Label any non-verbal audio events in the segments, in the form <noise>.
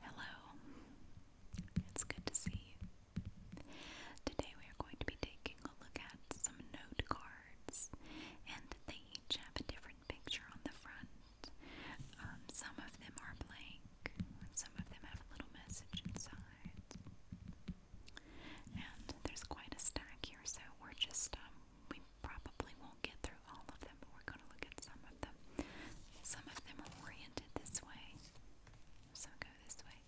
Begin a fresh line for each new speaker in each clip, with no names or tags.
Hello, it's good to see you. Today we are going to be taking a look at some note cards, and they each have a different picture on the front. Um, some of them are blank, some of them have a little message inside. And there's quite a stack here, so we're just, um, probably won't get through all of them, but we're going to look at some of them. Some of them are oriented this way, so go this way.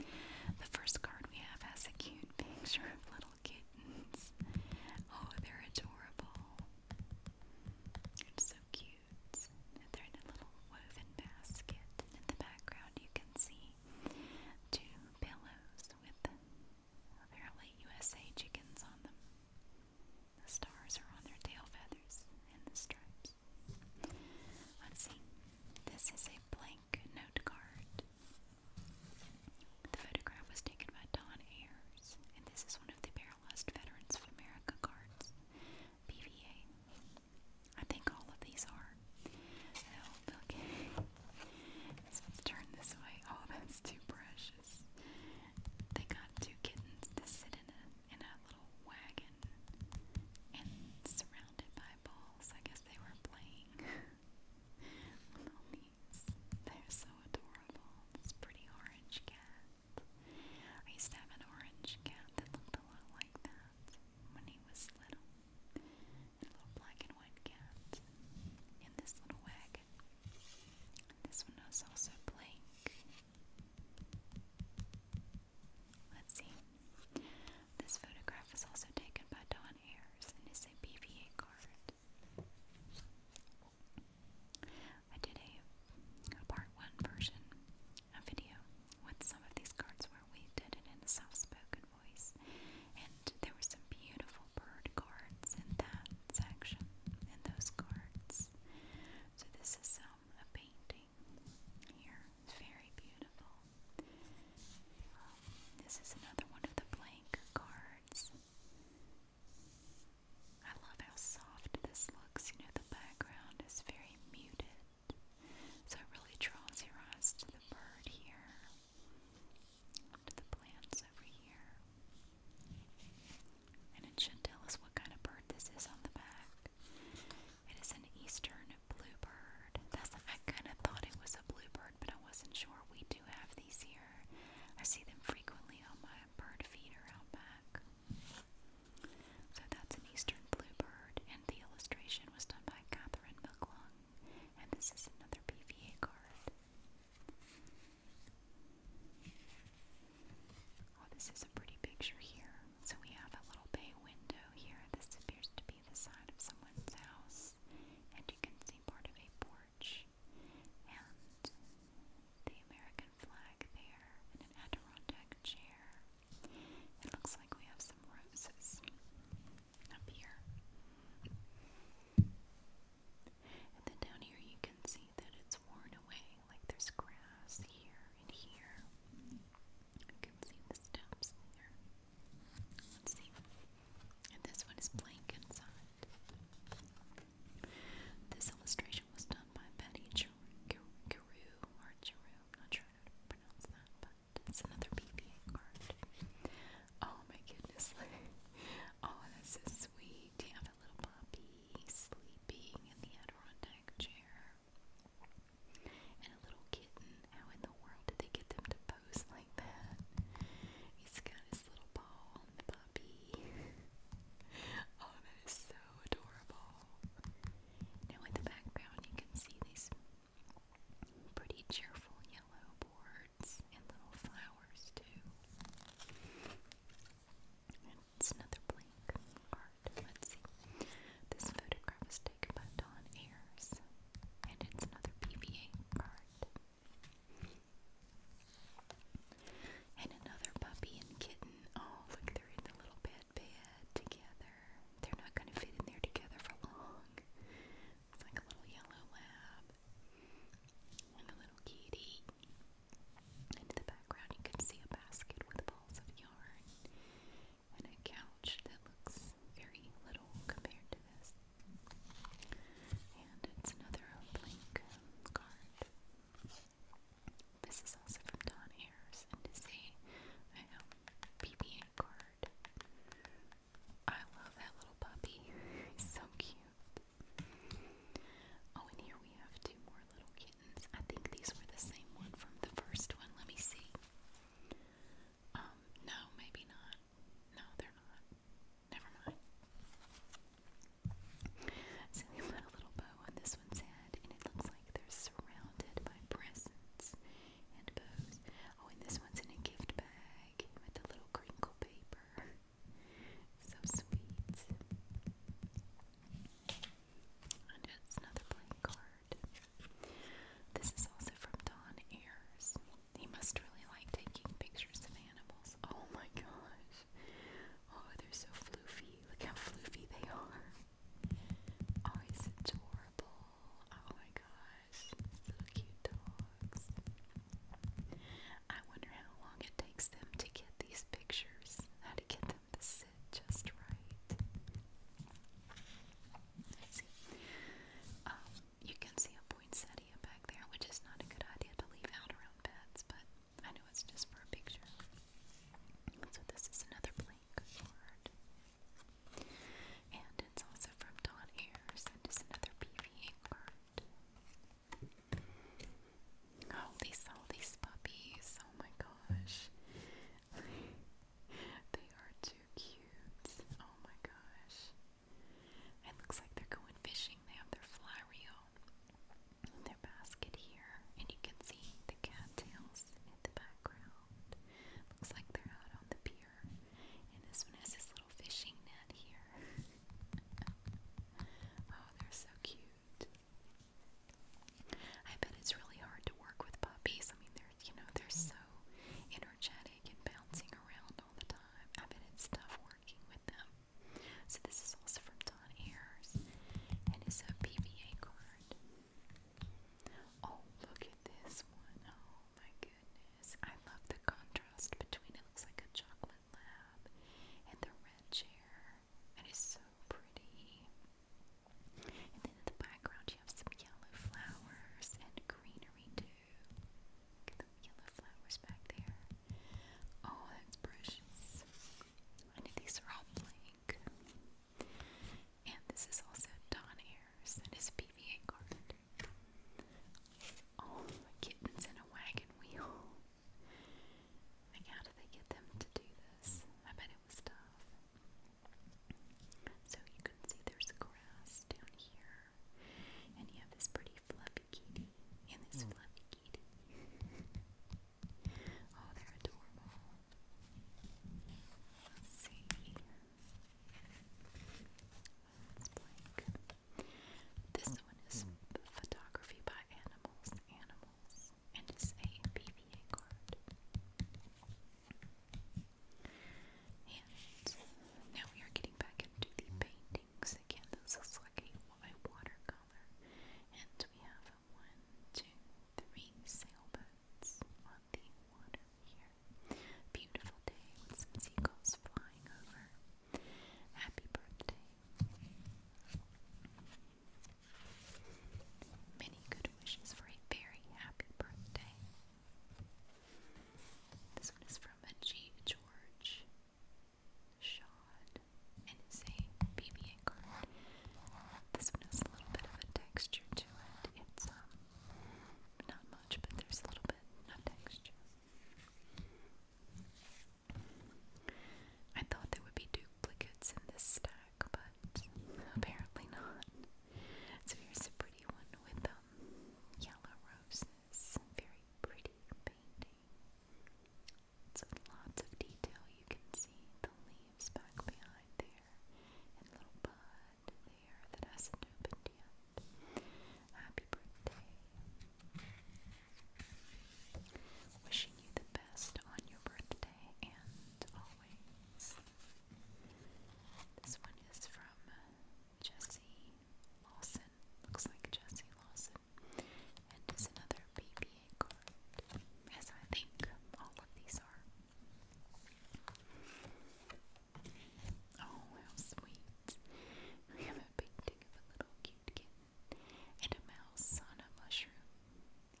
The first card we have has a cute <laughs> picture of little kittens. Oh, they're adorable. so cute. They're in a little woven basket. In the background, you can see two pillows with Apparently, USA chickens on them. The stars are on their tail feathers and the stripes. let see. This is a blank note card. The photograph was taken by Don Ayers, and this is one of the Paralyzed Veterans of America cards, PVA. I think all of these are. So, okay. <laughs> Let's turn this way. Oh, that's too precious. They got two kittens to sit in a little wagon and surrounded by balls. I guess they were playing. little <laughs> knees. They're so adorable. This pretty orange cat. I used to have an orange cat that looked a lot like that when he was little. A little black and white cat in this little wagon. This one was also blank. Let's see. This photograph was also taken by Don Ayers and is a BVA card. I did a part one version, a video with some of these cards where we did it in a soft spoken voice, and there were some beautiful bird cards in that section, in those cards. So this is um, a painting here. very beautiful. Um, this is another one of the blank cards. I love how soft this looks. You know, the background is very muted. So it really draws your eyes to the bird here, to the plants over here. And it should tell us what kind of bird this is on the back. It is an eastern bluebird. That's I kind of thought it was a bluebird, but I wasn't sure. We do have these here. I see them frequently on my bird feeder out back. So that's an eastern bluebird, and the illustration was done by Catherine McClung. And this is another PVA card. Oh, this is a pretty picture here. So we have a little bay window here. This appears to be the side of someone's house, and you can see part of a porch and the American flag there and an Adirondack chair. It looks like we have some roses up here. And then down here you can see that it's worn away, like there's grass here and here. You can see the steps there. Let's see. And this one is blank inside. This illustration was done by Betty Giroux, or Giroux, I'm not sure how to pronounce that, but it's another PPA card. Oh my goodness. <laughs> oh, that's so sweet have a little puppy sleeping in the Adirondack chair. And a little kitten. How in the world did they get them to pose like that? He's got his little paw on the puppy. <laughs> oh, that is so adorable. Now in the background you can see these pretty cheerful yellow boards and little flowers too. it's another blank card. Let's see. This photograph is taken by Don Ayers, and it's another PVA card. And another puppy and kitten. Oh, look, they're in the little bed bed together. They're not going to fit in there together for long. It's like a little yellow lab and a little kitty in the background, you can see a basket with balls of yarn and a couch that looks very little compared to this. And it's another blank card. This is also from Don Ayers and is a um, card. I love that little puppy. <laughs> He's so cute. Oh, and here we have two more little kittens. I think these were the same one from the first one. Let me see. Um, no, maybe not. No, they're not. Never mind. So we put a little bow on this one's head, and it looks like they're surrounded by presents and bows. Oh, and this one's in a gift bag with a little crinkle paper. So sweet. another blank card. This is also from Don Ayers. He must really like taking pictures of animals. Oh my gosh. Oh, they're so floofy. Look how floofy they are. Oh, he's adorable. Oh my gosh. So cute dogs. I wonder how long it takes them to get these pictures, how to get them to sit just right. Um, you can see a poinsettia back there, which is not a good idea to leave out around beds, but I know it's just for a picture. So this is another blank card. And it's also from Don Ayers and is another PVA card. Oh, they sell these puppies. Oh my gosh. <laughs> they are too cute. Oh my gosh. It looks like they're going fishing. They have their fly reel their basket here. And you can see the cattails in the background. Looks like they're out on the pier. And this one has this little fishing net here. <laughs> oh, they're so cute. I bet it's really hard to work with puppies. I mean, they're, you know, they're so energetic and bouncing around all the time. I bet it's tough working with them. So this is also from Don Ayers, and it's a PVA card. Oh, look at this one. Oh my goodness. I love the contrast between it looks like a chocolate lab and the red chair. It is so pretty. And then in the background you have some yellow flowers and greenery too. Look at the yellow flowers back there. Oh, that's precious. And these are all blank. And this is also Don Ayers and his PVA card. All oh, kittens in a wagon wheel. Like, how did they get them to do this? I bet it was tough. So, you can see there's grass down here, and you have this pretty fluffy kitty and this mm. fluffy kitty. <laughs> oh, they're adorable. Let's see. That's this one is Photography by Animals, Animals, and it's a PVA card. And now we are getting back into the paintings again. This is like a, watercolor. And we have one, two, three sailboats on the water here. Beautiful day with some seagulls flying over. Happy birthday. Many good wishes for a very happy birthday. This one is from a G. George Shod, and This one has a little bit of a texture to it. It's um, not much, but there's a little bit of texture. I thought there would be duplicates in this stack, but apparently not. So here's a pretty one with um, yellow roses. Very pretty painting. So lots of detail. You can see the leaves back behind there, and little bud there that hasn't opened Happy birthday. Wishing you the best on your birthday and always. This one is from Jesse Lawson. Looks like Jesse Lawson. And is another PPA card, as I think all of these are. Oh, how sweet. We have a painting of a little cute kitten and a mouse on a mushroom,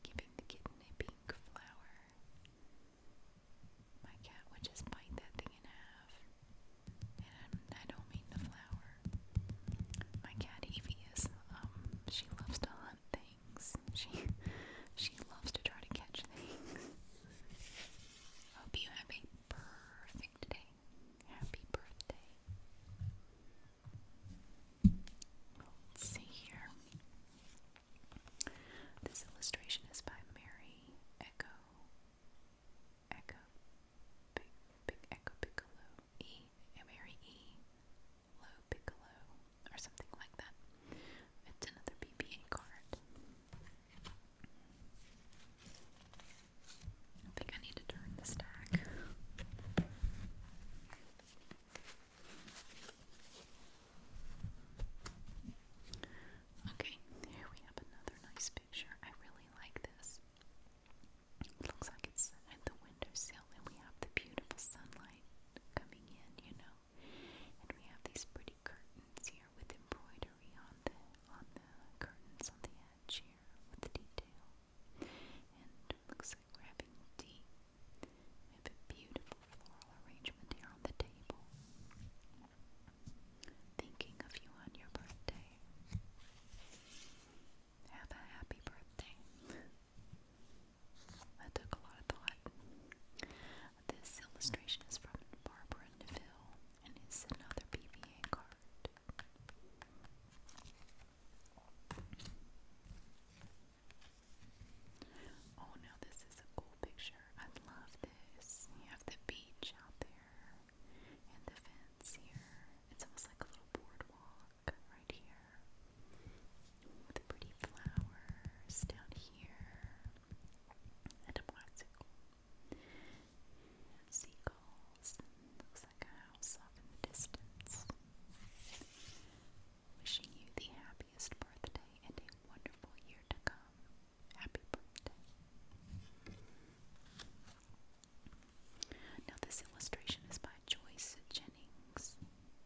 giving the kitten a pink flower. My cat would just bite that thing in half. And I don't mean the flower. My cat Evie is, um, she loves to hunt things. She, she loves to try to catch things. <laughs> Hope you have a perfect birthday today. Happy birthday. see here. This illustration is by Mary Echo. Echo. Big, big Echo Piccolo. E. Mary E. Low Piccolo. Or something like that. It's another BBA card. I think I need to turn the stack. Okay, here we have another nice picture. I really like this. It looks like it's at the windowsill, and we have the beautiful sunlight coming in, you know. And we have these pretty curtains here with embroidery embroidery on the on the curtains on the edge here with the detail. And looks like we're having tea. We have a beautiful floral arrangement here on the table. Thinking of you on your birthday. Have a happy birthday. <laughs> that took a lot of thought. This illustration is from Barbara Neville and is another BB Oh no, this is a cool picture. I love this. You have the beach out there and the fence here. It's almost like a little boardwalk right here. With pretty flowers down here and a bicycle. Seagulls, looks like a house off in the distance. Wishing you the happiest birthday and a wonderful year to come. Happy birthday. Now, this illustration is by Joyce Jennings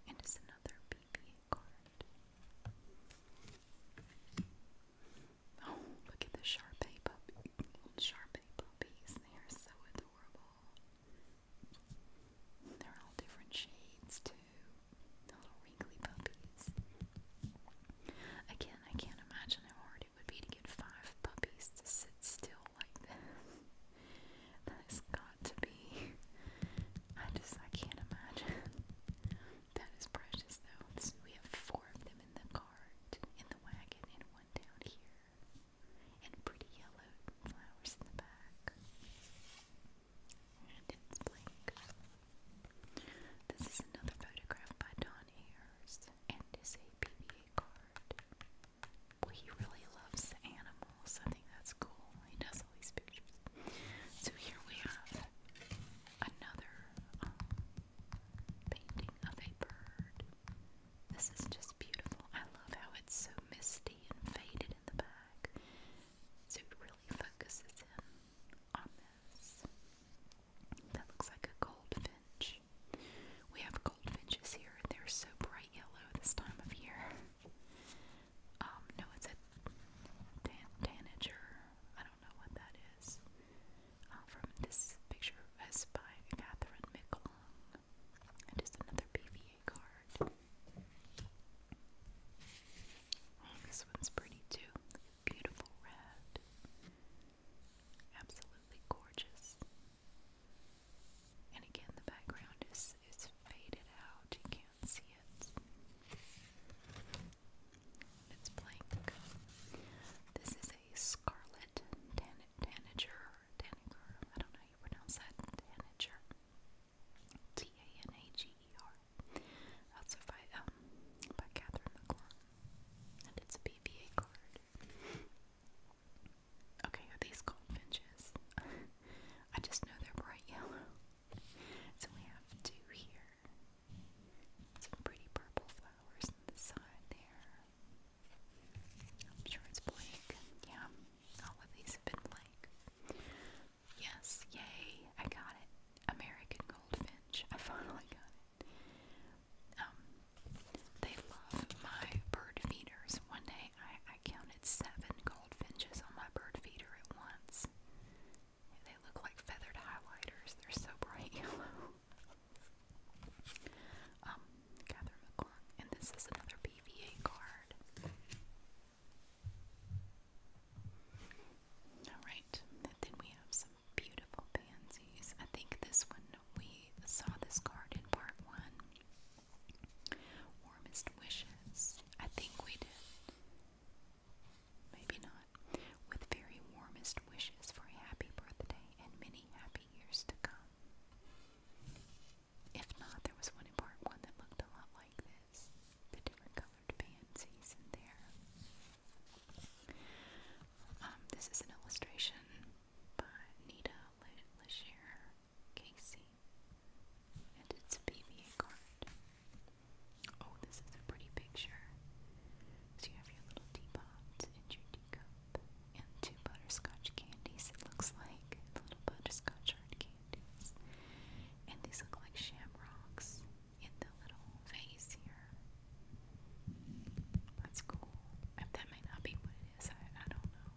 and is another BB card. Oh, look at the Sharpay puppy. Little Sharpay puppies. They are so adorable. They're all different shades, too. little wrinkly puppies. Again, I can't imagine how hard it would be to get five puppies to sit still like this. That has got to be. I just, I can't imagine. That is precious, though. So we have four of them in the cart, in the wagon, and one down here. And pretty yellow flowers in the back. And it's blank. This is another photograph by Don Ayers, and it's a PBA card. Well, he really loves animals. I think that's cool. He does all these pictures. So here we have another um, painting of a bird. This is just beautiful. I love how it's so misty and faded in the back. So it really focuses in on this. That looks like a goldfinch. We have goldfinches here. They're so bright yellow this time of year. Um, no, it's a tan tanager. I don't know what that is uh, from this picture is by Catherine McClung. It is another PVA card. Oh, this one's pretty too. Beautiful red. Absolutely gorgeous. And again, the background is, is faded out. You can't see it. It's blank. This is a scarlet tanager, tanager. I don't know how you pronounce that. Tanager. T A N A G E R. Also by um by Catherine McClung. And it's a BBA card. Okay, are these goldfinches? <laughs> I just know they're bright yellow. So we have two here. Some pretty purple flowers on the side there. I'm sure it's blank. Yeah, all of these have been blank. Yes, yay, I got it. American Goldfinch. I finally got it. Um, they love my bird feeders. One day I, I counted seven goldfinches on my bird feeder at once. They look like feathered highlighters. They're so bright yellow. <laughs> um, Catherine McClung. And this is another PVA card. Alright, then we have some beautiful pansies. I think this one, we saw this card in part one. Warmest wishes. I think we did. Maybe not. With very warmest wishes for a happy birthday and many happy years to come. If not, there was one in part one that looked a lot like this. The different colored pansies in there. Um, this is an illustration by Nita Le Casey. And it's a BBA card. Oh, this is a pretty picture. So you have your little teapot and your teacup and two butterscotch candies, it looks like. Little butterscotch hard candies. And these look like shamrocks in the little vase here. That's cool. that may not be what it is, I, don't know.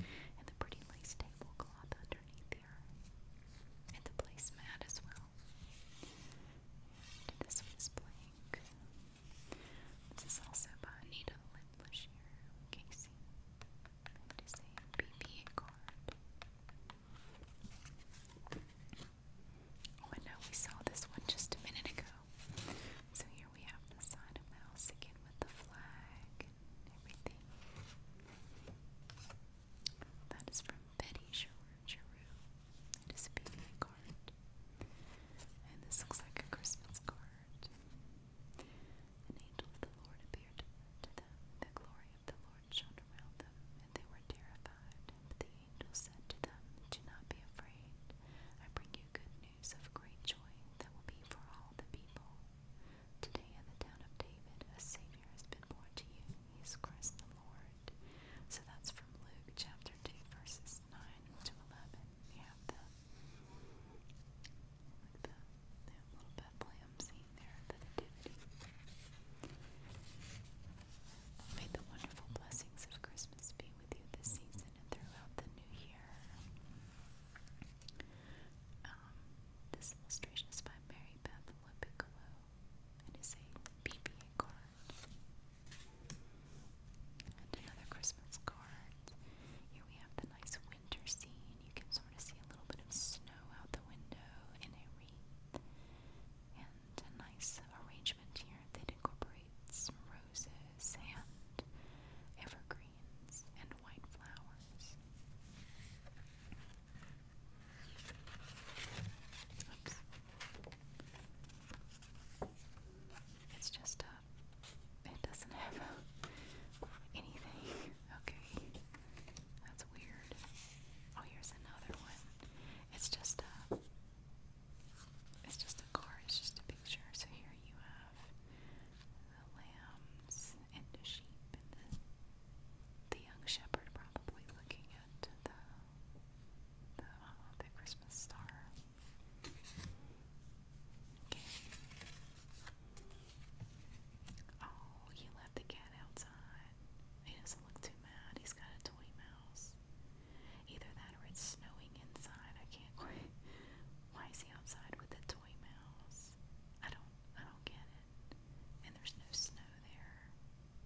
And the pretty lace tablecloth underneath there. And the placemat as well circle. And this one's blank. This is also by Anita Lindlashier Casey. It is a PPA card. Oh, I we saw this one just a minute ago. So here we have the side of mouse again with the flag and everything. That is from Betty Giroux. It is a PVA card. And this looks like a Christmas card. An angel of the Lord appeared to them. The glory of the Lord shone around them, and they were terrified. But the angel said to them, Do not be afraid. I bring you good news of great joy that will be for all the people. Today in the town of David, a Savior has been born to you. He is Christ the Lord. So that's from Luke chapter 2, verses 9 to 11. We have the, the, little Bethlehem scene there, the Nativity. May the wonderful blessings of Christmas be with you this season and throughout the new year. Um, this illustration is by Mary Beth Piccolo it is a PPA card. And another Christmas card. Here we have the nice winter scene. You can sort of see a little bit of snow out the window in a wreath. And a nice arrangement here that incorporates roses and evergreens and white flowers. It's just a. Uh, it doesn't have <laughs> anything. Okay. That's weird. Oh, here's another one. It's just a. Uh, it's just a car. It's just a picture. So here you have the lambs and the sheep and the the young shepherd probably looking at the the, Christmas star. Okay. Oh, he left the cat outside. He doesn't look too mad. He's got a toy mouse. Either that or it's snowing inside. I can't Why is he outside with a toy mouse? I don't. I don't get it. And there's no snow there.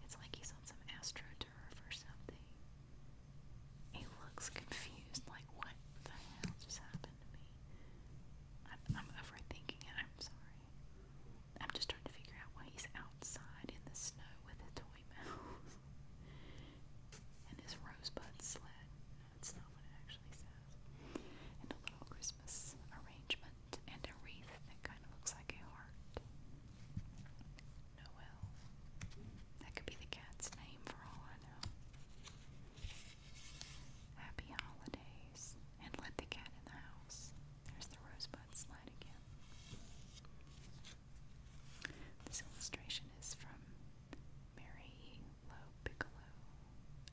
It's like he's on some astroturf or something. He looks confused, like, what the hell just happened to me? I'm, overthinking it, I'm sorry. I'm just trying to figure out why he's outside in the snow with a toy mouse. <laughs> and his rosebud sled. that's not what it actually says. And a little Christmas arrangement and a wreath that kind of looks like a heart. Noel. That could be the cat's name for all I know. Happy holidays. And let the cat in the house. There's the rosebud slide again. This illustration is from Mary Lowe Piccolo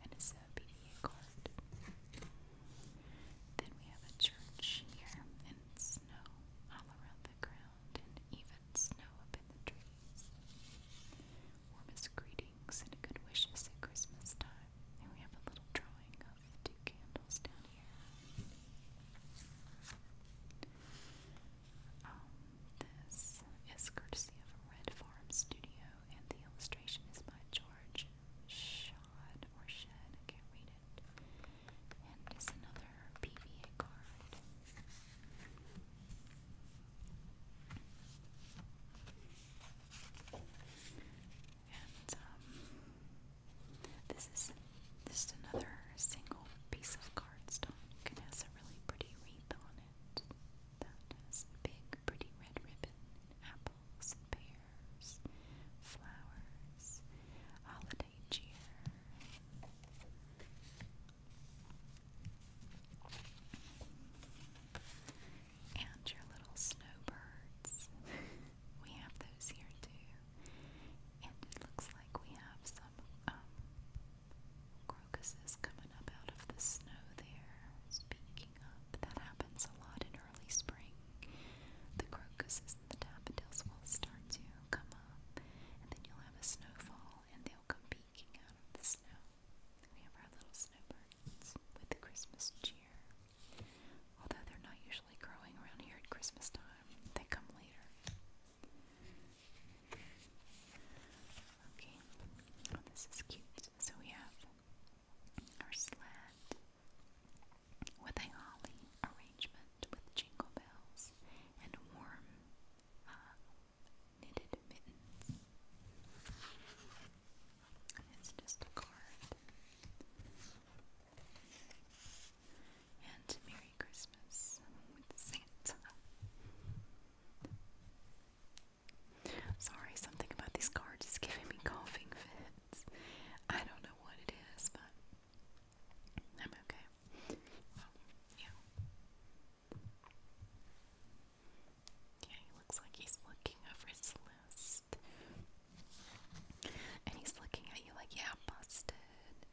and it's a PDF. Then we have a church here, and snow all around the ground, and even snow up in the trees. Warmest greetings and good wishes at Christmas time. And we have a little drawing of two candles down here. this is courtesy of Red Farm Studio, and the illustration is by George Shod. Um, this is just another single piece of cardstock. It has a really pretty wreath on it that has big, pretty red ribbon apple apples and pears, flowers, holiday cheer. And your little snowbirds. <laughs> we have those here too. And it looks like we have some um, crocuses coming up out of the snow there. Speaking of, that happens a lot in early spring. The crocuses and the daffodils will start to come up, and then you'll have a snowfall, and they'll come peeking out of the snow. We have our little snowbirds with Christmas cheer. Although they're not usually growing around here at Christmas time, they come later. Okay, this is cute. So we have or sled with a holly arrangement with jingle bells and warm uh, knitted mittens. It's just a card. And Merry Christmas with Santa. Sorry, something about these cards is giving me coughing fit. I don't know what it is, but I'm okay. Um, yeah. Yeah, he looks like he's looking over his list. And he's looking at you like, yeah, busted.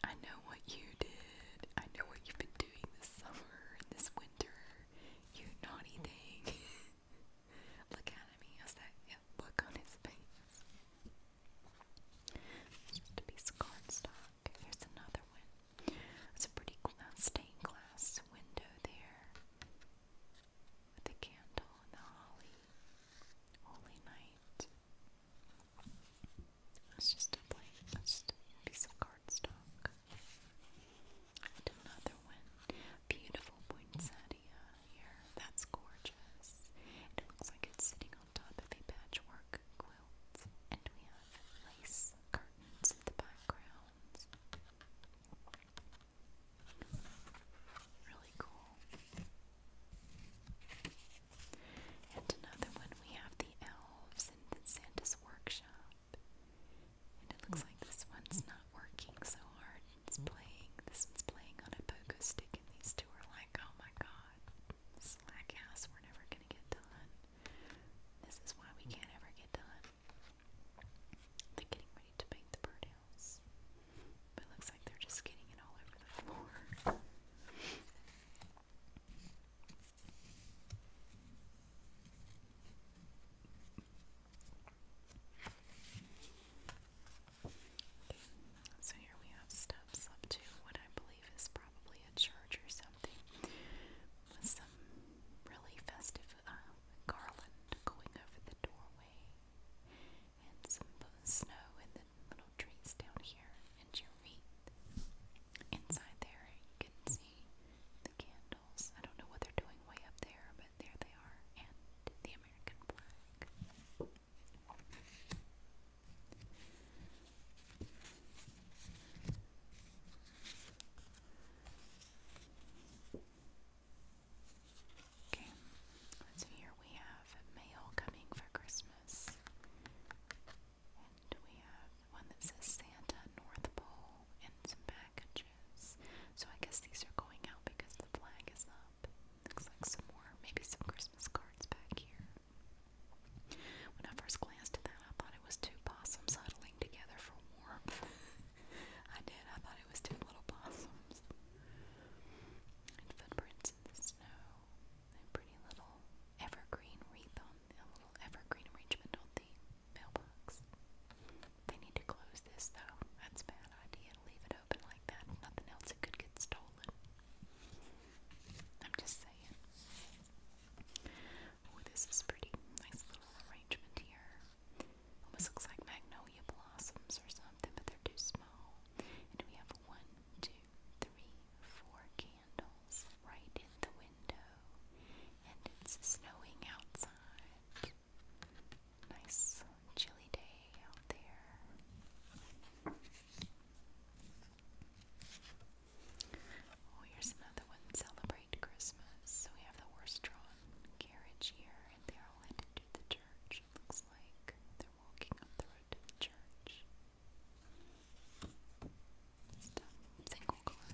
I know what you did. I know what you've been doing this summer and this winter. You naughty thing. <laughs> look at me. he has that look on his face. Just a piece of cardstock. Here's another one. It's a pretty glass, stained glass window there with the candle and the holly. Holy night. That's just a blank, that's just a piece of cardstock. And another one. Beautiful poinsettia here. That's gorgeous. It looks like it's sitting on top of a patchwork quilt. And we have lace curtains in the background. Really cool. And another one, we have the elves in the Santa's workshop. And it looks like this one's not working so hard. It's playing, this one's playing on a pogo stick, and these two are like, oh my god, slack ass, we're never gonna get done. This is why we can't ever get done. They're getting ready to paint the birdhouse. But it looks like they're just getting it all over the floor so here we have steps up to what I believe is probably a church or something with some really festive uh, garland going over the doorway and some snow and little trees down here and your feet Inside there you can see the candle. I don't know what they're doing way up there, but there they are. And the American flag. Okay, so here we have mail coming for Christmas. And we have one that says Santa North Pole and some bags. So I guess these are going out because the flag is up. Looks like some more, maybe some Christmas cards back here. When I first glanced at that, I thought it was two possums huddling together for warmth. <laughs> I did. I thought it was two little possums. footprints in the snow. A pretty little evergreen wreath on a little evergreen arrangement on the mailbox. They need to close this though. That's a bad idea to leave it open like that. nothing else, it could get stolen. I'm just saying. Oh, this is pretty. Nice little arrangement here. Almost looks like magnolia blossoms or something, but they're too small. And we have one, two, three, four candles right in the window. And it's snowing outside. Nice chilly day out there. Oh, here's another one. Celebrate Christmas. we have the horse drawn carriage here, and they're all headed the church. looks like they're walking up the road to the church. single card.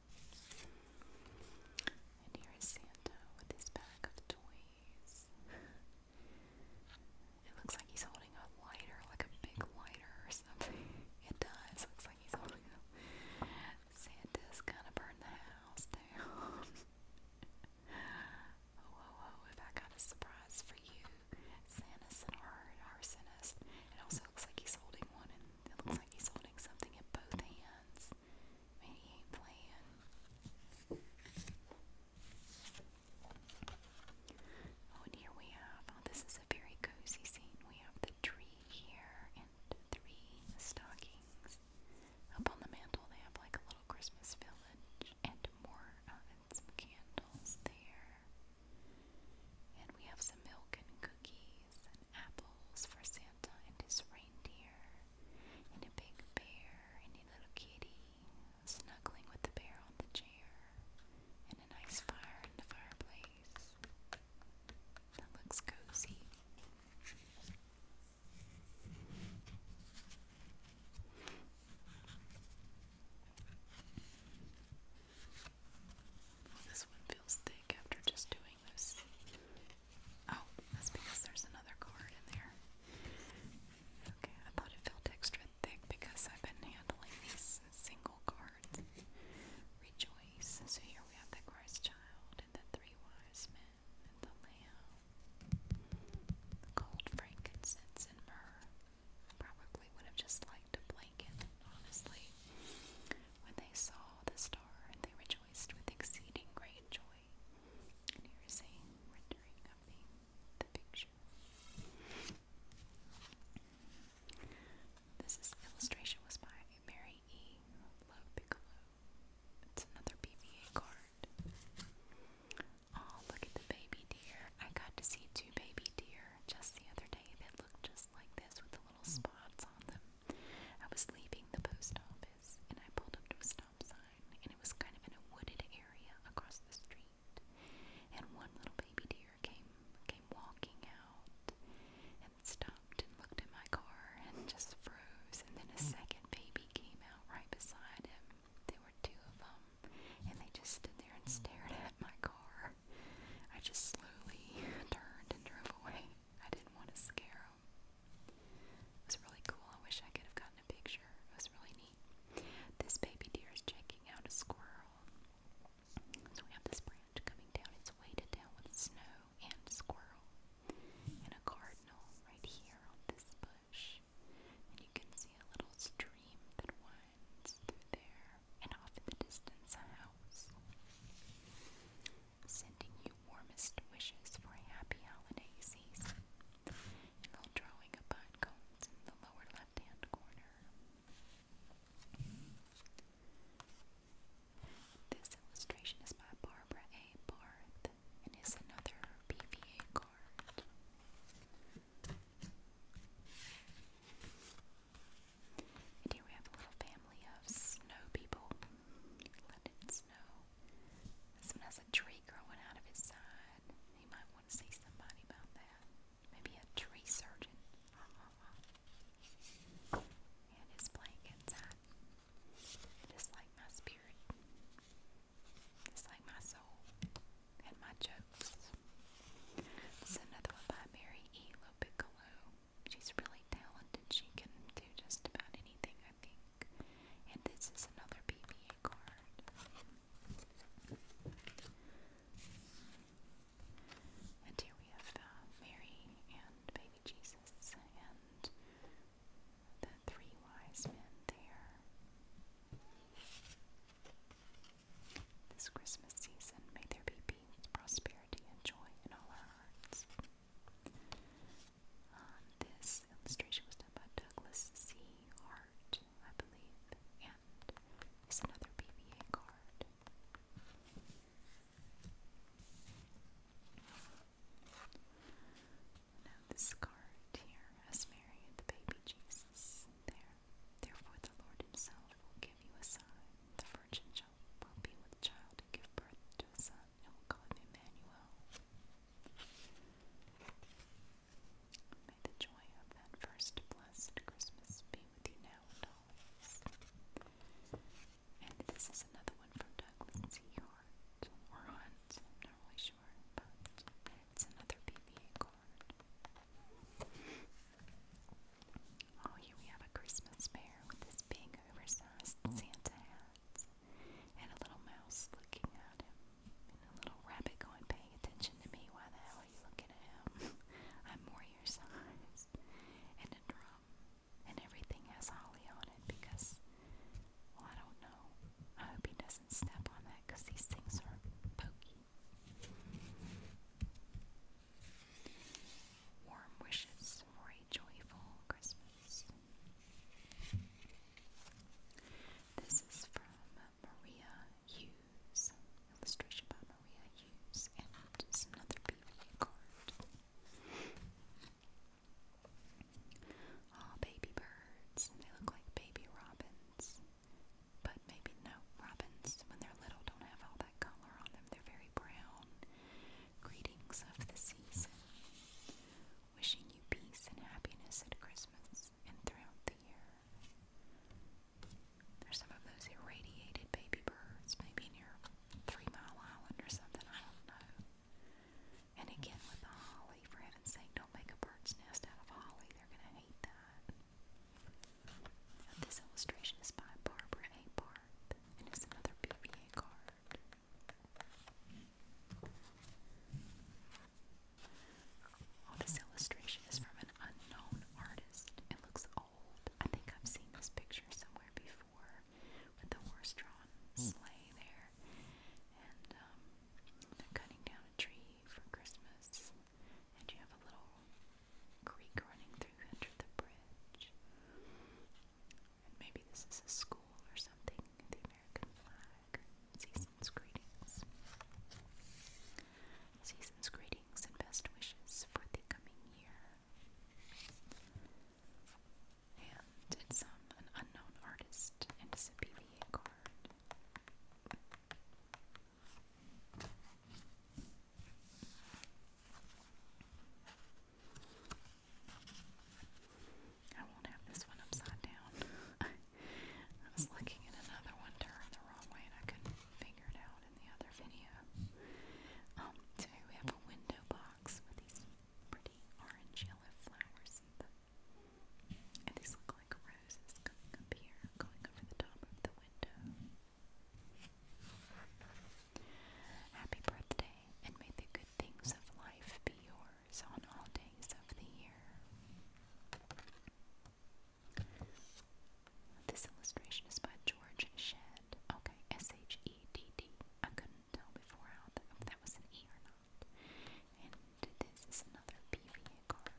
And here is Santa with his bag of toys. it looks like he's holding a lighter, like a big lighter or something. <laughs> It does. Looks like he's holding a. Santa's gonna burn the house down. <laughs> Oh, oh, oh, if I got a surprise for you. Santa's an arsonist. It also looks like he's holding one, and it looks like he's holding something in both hands. Man, he ain't Oh, here we have, oh, this is a very cozy scene. We have the tree here and three stockings. Up on the mantle, they have like a little Christmas village and more, and some candles there. And we have some milk and cookies and apples for Santa and his reindeer, and a big bear and a little kitty snuggling with the bear on the chair, and a nice fire in the fireplace. That looks cozy. this one feels thick after just doing this Oh, that's because there's another card in there. Okay, I thought it felt extra thick because I've been handling these single cards. Rejoice. So here we have the Christ child and the three wise men and the lamb. The gold frankincense and myrrh. Probably would have just liked a blanket, honestly. When they saw the star and they rejoiced with exceeding great joy. And here is a rendering of the, the picture. This illustration was by Mary E. Lowe-Piccolo. It's another PVA card. Oh, look at the baby deer. I got to see two baby deer just the other day that looked just like this with the little spots on them. I was leaving the post office and I pulled up to a stop sign, and it was kind of in a wooded area across the street. And one little baby deer came came walking out and stopped and looked at my car and just froze. And then a hmm. second baby came out right beside him. There were two of them, and they just stood there and hmm. stared at my car. I just slowly <laughs> turned and drove away. I didn't want to scare him. It was really cool. I wish I could have gotten a picture. It was really neat. This baby deer is checking out a squirrel. So we have this branch coming down. It's weighted down with snow and squirrel. And a cardinal right here on this bush. And you can see a little stream that winds through there. And off in the distance, a house sending you warmest wishes for a happy holiday season. And little drawing of pine cones in the lower left-hand corner. This illustration is by Barbara A. Barth and is another PVA card. And we have a little family of snow people. Let it snow. This one has a tree growing out of his side. You might want to see somebody about that. Maybe a tree surgeon. And it's playing inside. Just like my spirit. Just like my soul. And my jokes. This another one by Mary E. Lopiccolo she's really talented. She can do just about anything, I think. And this is another PBA card. And here we have Mary and baby Jesus and the three wise men there. This Christmas season, may there be peace, prosperity, and joy in all our hearts. Um, this illustration was done by Douglas C. Hart, I believe, and it's another PVA card. Now this card here has Mary and the baby Jesus there. Therefore the Lord himself will give you a sign. The virgin child will be with child and give birth to a son and will call him Emmanuel. May the joy of that first blessed Christmas be with you now and always. And this is another one from Douglas C. Hart, or Hunt, I'm not really sure, but it's another PBA Oh, here we have a Christmas bear with this big oversized Santa hat and a little mouse looking at him. And a little rabbit going, paying attention to me. Why the hell are you looking at him? <laughs> I'm more your size. And a drum. And everything has holly on it because, well, I don't know. I hope he doesn't step on that because these things are pokey. Warm wishes for a joyful Christmas. This is from Maria Hughes, illustration by Maria Hughes, and it's another PVA card. Aw, ah, baby birds. They look like baby robins. But maybe no, robins, when they're little, don't have all that color on them. They're very brown. Greetings of the season. Wishing you peace and happiness at Christmas and throughout the year. There's some of those irradiated baby birds, maybe near Three Mile Island or something, I don't know. And again with the holly, for heaven's sake, don't make a bird's nest out of holly. They're gonna hate that. This illustration is by Barbara A it's another BBA card. this illustration is from an unknown artist. It looks old. I think I've seen this picture somewhere before with the horse-drawn sleigh there. And um, they're cutting down a tree for Christmas. And you have a little Greek running through under the bridge. And maybe this is a school or something, the American flag. Season's greetings. Season's greetings and best wishes for the coming year. And it's um, an unknown artist, and it's a PVA card. I won't have this one upside down. <laughs> I was looking at another one turned the wrong way and I couldn't figure it out in the other video. Um, we have a window box with these pretty orange yellow flowers And these look like roses coming up here, going over the top of the window. Happy birthday, and may the good things of life be yours on all days of the year. This illustration is by George Shedd. Okay, S H E D D. I couldn't tell before how that, was an E or not. And this is another PVA card.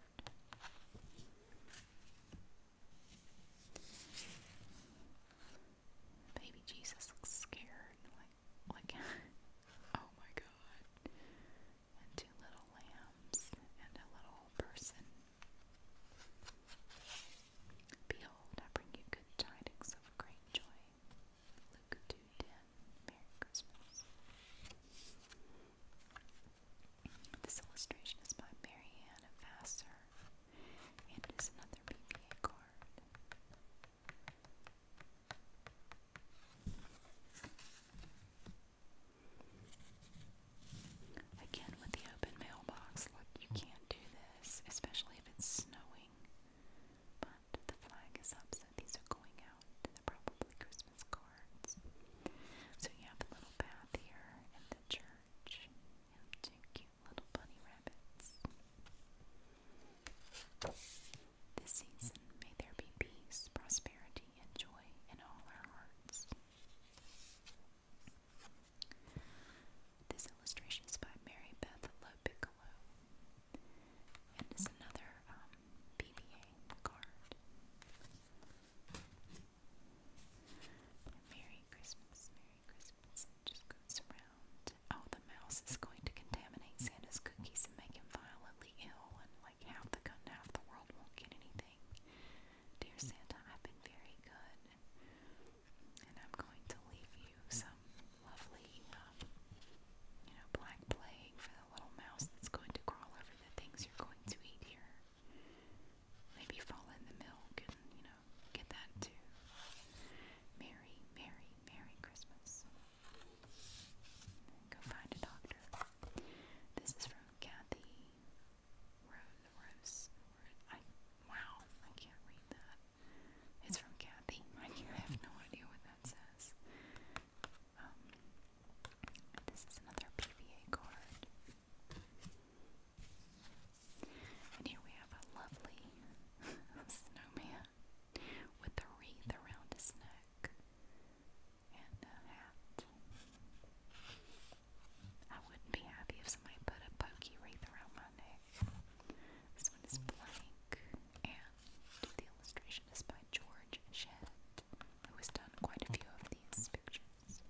Baby Jesus looks scared. Like, like, <laughs> oh my God. And two little lambs and a little person. Behold, I bring you good tidings of great joy. Luke 2:10. Merry Christmas. This illustration is by Mary Vassar. And another PVA card. Again, with the open mailbox, look, you can't do this, especially if it's snowing. But the flag is up, so these are going out. They're probably Christmas cards. So you have a little path here, and the church, and cute little bunny rabbits. This season, may there be peace, prosperity, and joy in all our hearts. This illustration is by Mary Beth Lowe Piccolo and is another um, card. Merry Christmas, Christmas just goes around. Oh, the mouse is going to contaminate Santa's cookies and make him violently ill, and like half the half the world won't get anything. Dear Santa, I've been very good, and I'm going to leave you some lovely, um, you know, black plague for the little mouse that's going to crawl over the things you're going to eat here. Maybe fall in the milk and, you know, get that too. Merry, Merry, Merry Christmas. Go find a doctor. This is from Kathy Rose. wow, I can't read that. It's from Kathy. <laughs> I have no idea what that says. Um, this is another PVA card. And here we have a lovely <laughs> snowman with a wreath around his neck and a hat. I wouldn't be happy if somebody put a pokey wreath around my neck. This one is blank, and the illustration is by George Shedd, who has done quite a few of these pictures.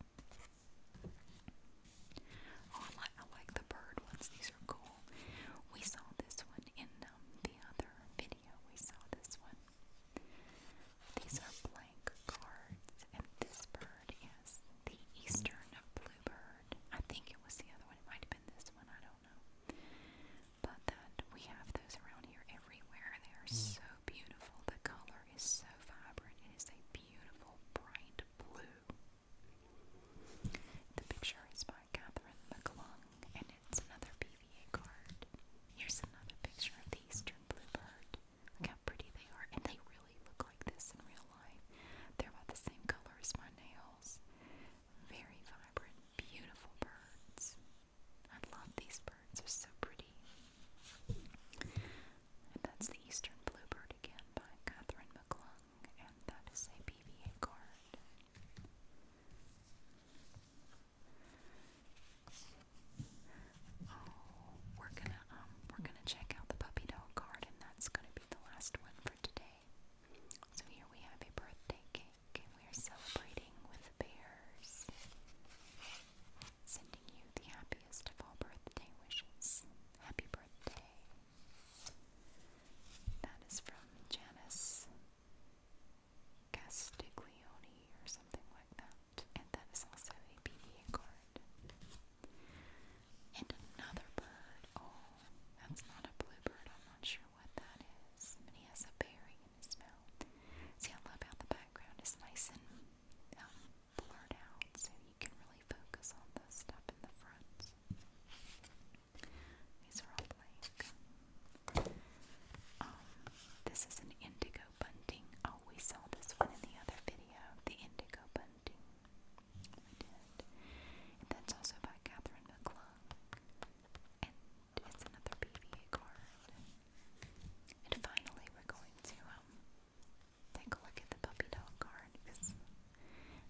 Oh, I like the bird ones. These are cool. We saw this one in um, the other video. We saw this one. These are blank cards, and this bird is the eastern bluebird. I think it was the other one. It might have been this one. I don't know. But that we have those around here everywhere. They are mm. so beautiful. The color is so vibrant. It is a beautiful, bright blue. The picture is by Catherine McClung, and it's another PVA card. Here's another picture of the eastern bluebird. Look how pretty they are, and they really look like this in real life. They're about the same color as my nails. Very vibrant, beautiful birds. I love these birds, they're so pretty. And that's the Eastern Bluebird again by Catherine McClung, and that is a PVA card. Oh, we're gonna um we're gonna check out the puppy dog card, and that's gonna be the last one for today. So here we have a birthday cake, and we are celebrating with bears you the happiest of all birthday wishes. Happy birthday. That is from Janice Castiglione or something like that. And that is also a PDA card. And another bird. Oh, that's not a bluebird. I'm not sure what that is. But he has a berry in his mouth. See, I love the background is nice and um, blurred so you can really focus on the stuff in the front. These are all blank. Um, this is an indigo bunting. Oh, we saw this one in the other video, the indigo bunting. We did. that's also by Catherine McClung. And it's another PVA card. And finally, we're going to um, Take a look at the puppy dog card because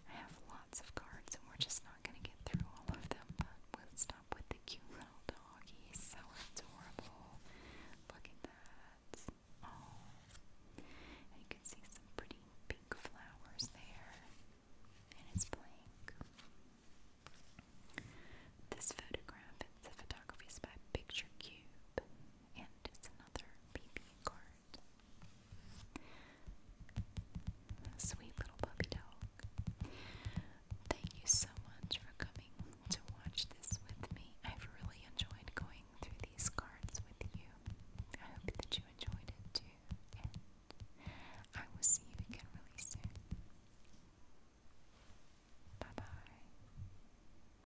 I have lots of cards and we're just not going to get through all of them. But we'll stop with the cute little dog. so adorable. Look at that. Oh, you can see some pretty pink flowers there. And it's blank. This photograph, the photography is by Picture Cube, and it's a Sweet little puppy dog. Thank you so much for coming to watch this with me. I've really enjoyed going through these cards with you. I hope that you enjoyed it too. And I will see you again really soon. Bye bye.